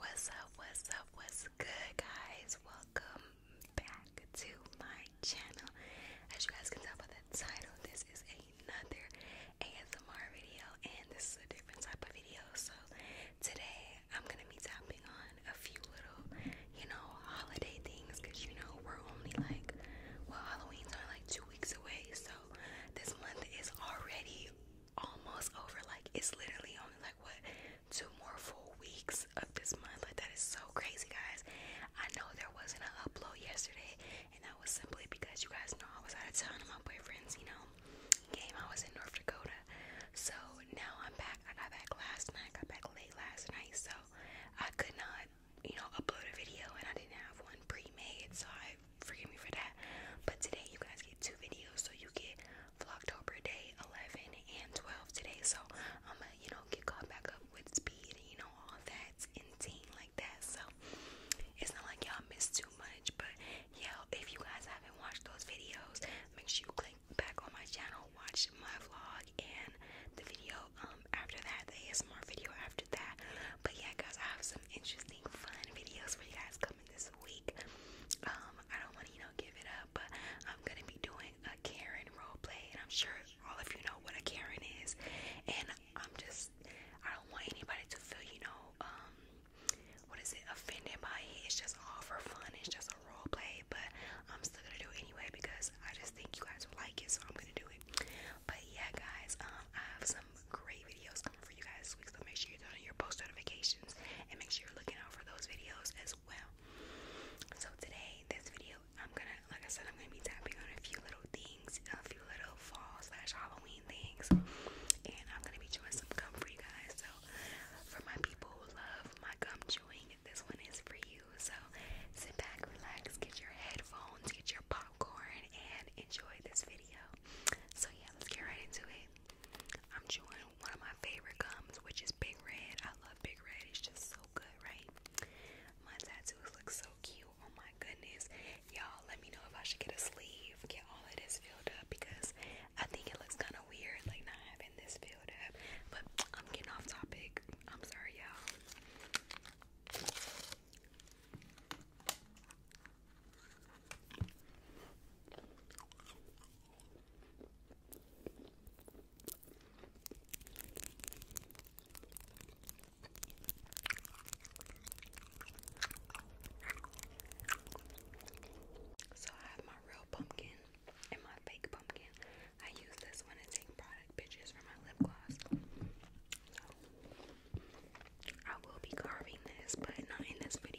What's up, what's up, what's good, guys? Welcome back to my channel. As you guys can tell by the title, this is another ASMR video, and this is a different type of video. So, today I'm gonna be tapping on a few little, you know, holiday things because you know, we're only like, well, Halloween's only like two weeks away, so this month is already almost over. Like it's literally only like what two more full weeks of this month. Like that is so crazy, guys. I know there wasn't an upload yesterday, and that was simply because you guys know I was out of town and my boyfriend's, you know, game. I was in North Dakota, so now I'm back. I got back last night. I got back late last night, so I could not, you know, upload a video, and I didn't have one pre-made, so I forgive me for that. But today you guys get two videos, so you get Vlogtober day 11 and 12 today. So I'm gonna, you know, get caught back up with speed you know all that and team like that. So it's not like y'all missed too much, but yeah, if you guys haven't watched those videos, make sure you click back on my channel, watch my vlog and the video um after that, the ASMR video after that. But yeah, guys, I have some interesting fun videos for you guys. Go this week. Um, I don't want to, you know, give it up, but I'm gonna be doing a Karen roleplay, and I'm sure all of you know what a Karen is. And I'm just, I don't want anybody to feel, you know, um, what is it, offended by it. It's just all for fun. It's just a role play, but I'm still gonna do it anyway because I just think you guys will like it, so I'm gonna do it. But yeah, guys, um, I have some great videos coming for you guys this week. So make sure you're turning on your post notifications and make sure you're looking out for those videos as well. So today, this video, I'm gonna, like I said, I'm gonna be tapping on a few little things, a few little fall slash Halloween things, and I'm gonna be doing some gum for you guys. So for my people who love my gum chewing, this one is for you. So sit back, relax, get your headphones, get your pop popcorn and enjoy this video. So, yeah, let's get right into it. I'm chewing one of my favorite gums, which is Big Red. I love Big Red, it's just so good, right? My tattoos look so cute. Oh my goodness. Y'all, let me know if I should get a sleeve, get all of this filled up because I think it looks kind of weird, like not having this filled up. But I'm getting off topic. I'm sorry, y'all. So I have my real pumpkin and my fake pumpkin. I use this one to take product pictures for my lip gloss. I will be carving this, but not in this video.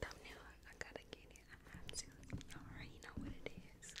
Thumbnail, I gotta get it. I have to. I already know what it is.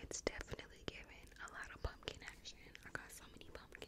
It's definitely giving a lot of pumpkin action. I got so many pumpkin.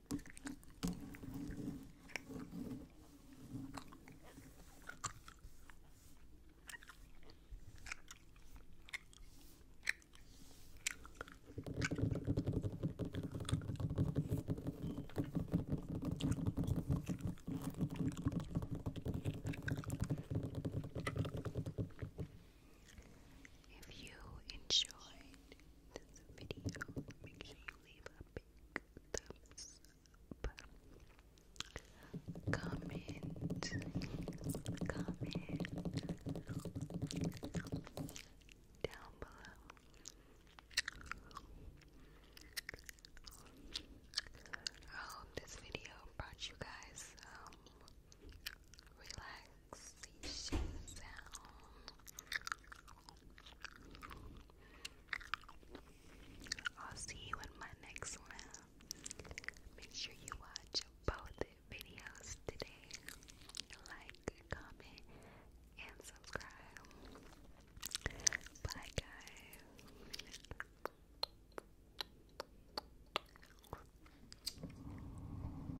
If you enjoyed this video, make sure you leave a big thumbs up. Comment, comment down below. I hope this video brought you guys um, relax relaxation I'll see you in my next one. Make sure you watch both videos today. Like, comment, and subscribe. Bye, guys.